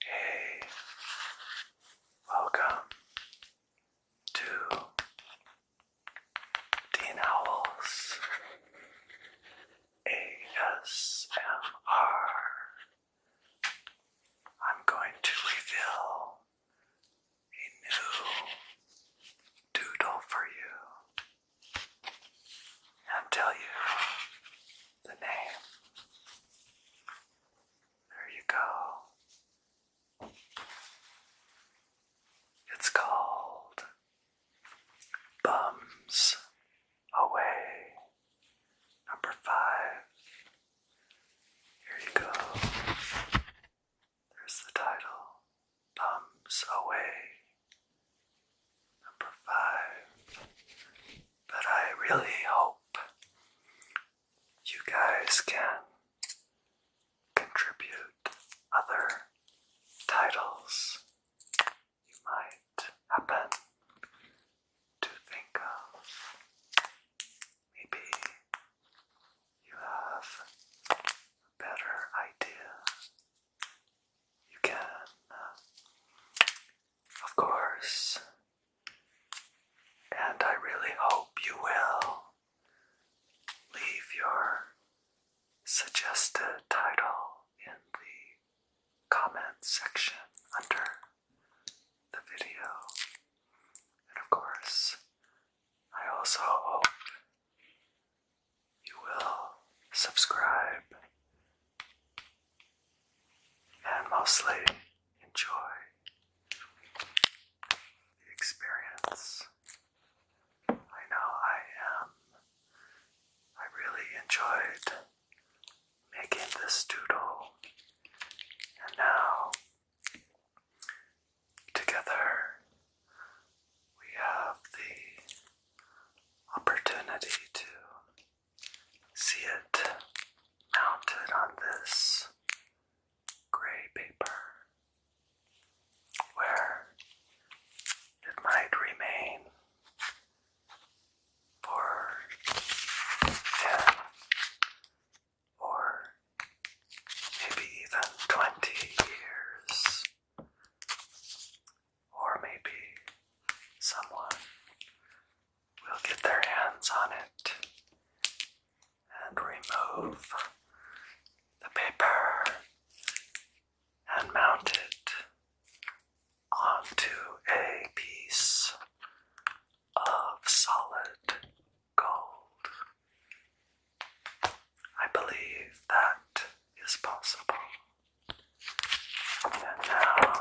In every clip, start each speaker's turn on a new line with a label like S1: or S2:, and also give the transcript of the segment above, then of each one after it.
S1: Hey, welcome to Dean Owls ASMR. I'm going to reveal a new doodle for you. I'll tell you the name. There you go. It's called Bums Away. Number five. Here you go. There's the title Bums Away number five. But I really hope you guys can contribute other titles you might happen to think of. Maybe you have better idea you can, uh, of course, and I really hope you will leave your suggested title in the comment section under the video. And of course, I also hope you will subscribe and mostly enjoy the experience. I know I am. I really enjoyed making this doodle, and now Together, we have the opportunity to see it mounted on this gray paper where it might remain for 10 or maybe even 20 years or maybe someone will get their hands on it and remove the paper and mount it onto a piece of solid gold. I believe that is possible. And now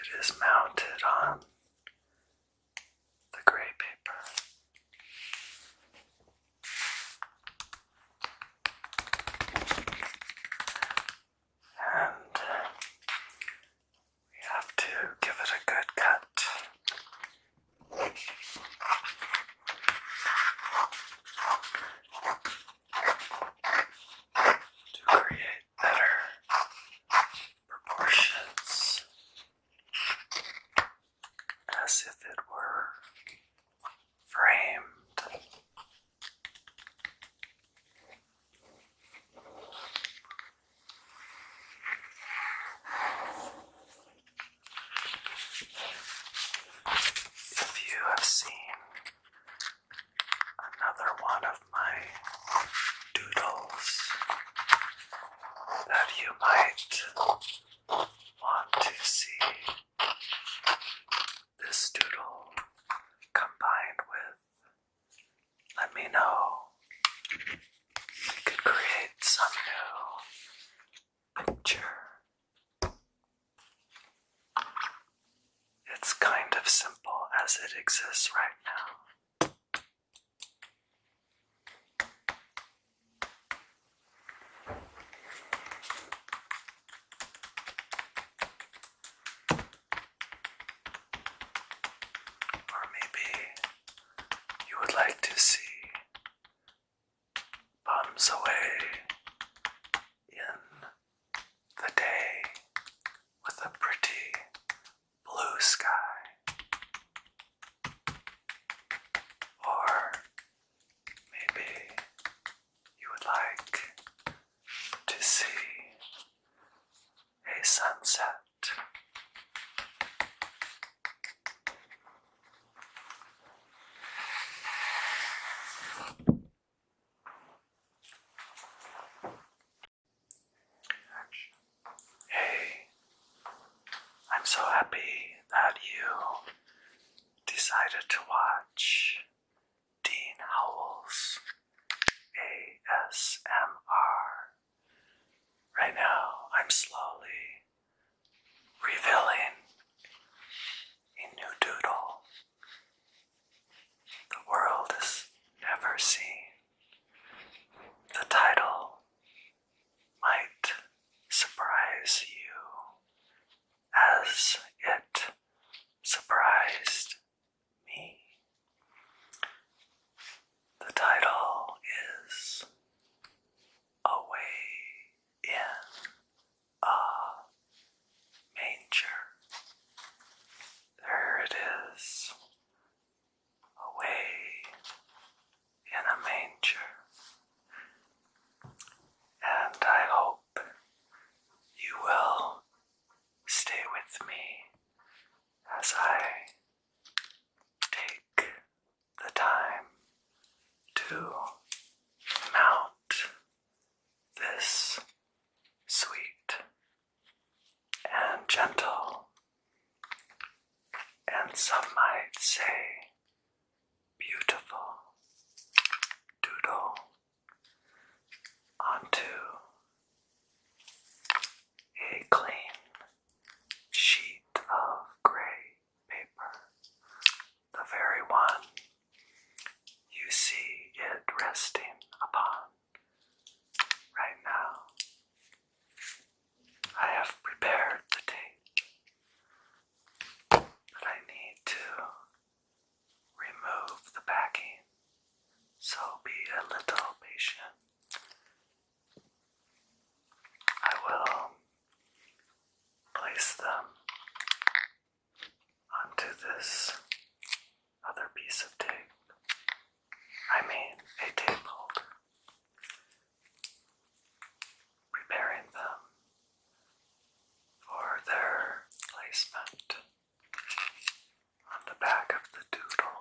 S1: it is mounted on the gray paper. And we have to give it a good cut to create better proportions as if it were framed. If you have seen another one of my doodles that you might want to see, this doodle combined with let me know. I could create some new picture. It's kind of simple as it exists right now. Or maybe you would like to see bombs away in the day with a pretty blue sky, or maybe you would like to see a sunset. Hey, I'm so happy that you decided to watch Dean Howell's ASMR Right now, I'm slowly revealing a new doodle the world has never seen. The title might surprise you as it surprised me. The title is Away in a Manger. There it is. Away in a manger. And I hope you will stay with me as I take the time to mount this sweet and gentle, and some might say beautiful doodle onto a clean sheet of gray paper, the very one you see it resting upon right now. I have prepared the tape, but I need to remove the backing so be a little patient. I will um, place them onto this other piece of tape. I mean, a tape Preparing them for their placement on the back of the doodle,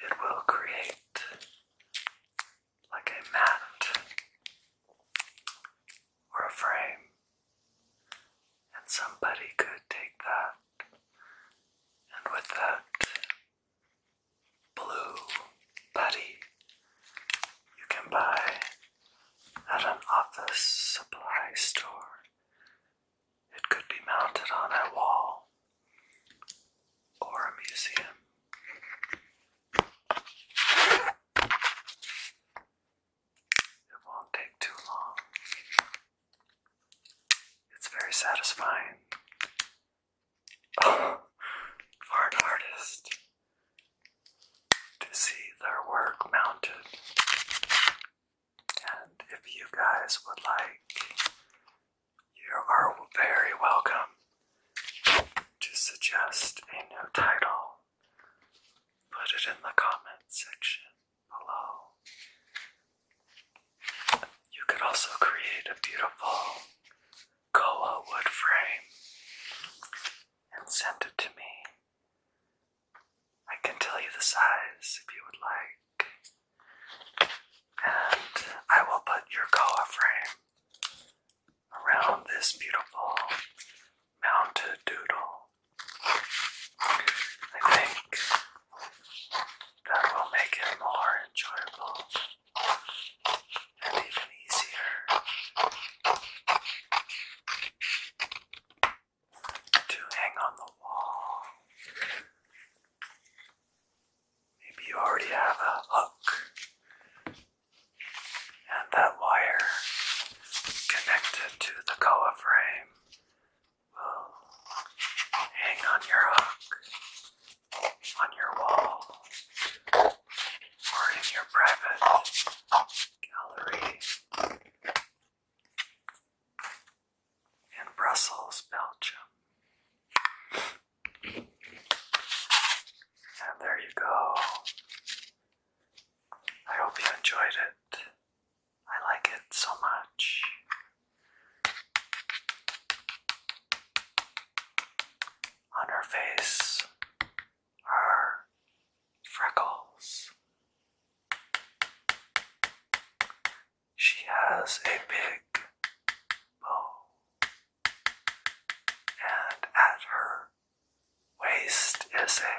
S1: it will create like a mat or a frame, and somebody could take that and with that blue putty you can buy at an office supply store. It could be mounted on a wall or a museum. It won't take too long. It's very satisfying. for an artist, to see their work mounted. And if you guys would like, you are very welcome to suggest a new title. Put it in the comment section below. You could also create a beautiful koa wood frame and send it to me I can tell you the size if you would like. And I will put your koa frame around this beautiful mounted doodle. I think that will make it more enjoyable and even easier to hang on the wall. Maybe you already have a hook and that wire connected to the koa frame will hang on your hook, on your wall, or in your private gallery in Brussels, Belgium. And there you go. I hope you enjoyed it. I like it so much. On her face, are freckles. She has a big bow, and at her waist is a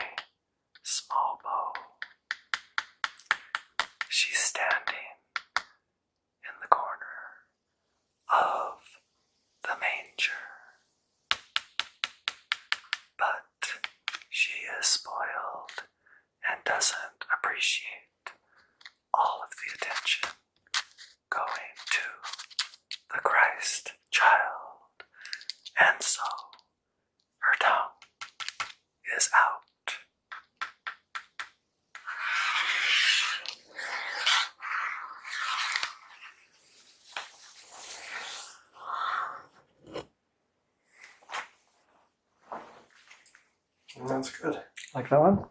S1: small bow. She's standing in the corner of the manger. But she is spoiled and doesn't appreciate all of the attention going to the Christ child, and so her tongue is out that's good. Like that one?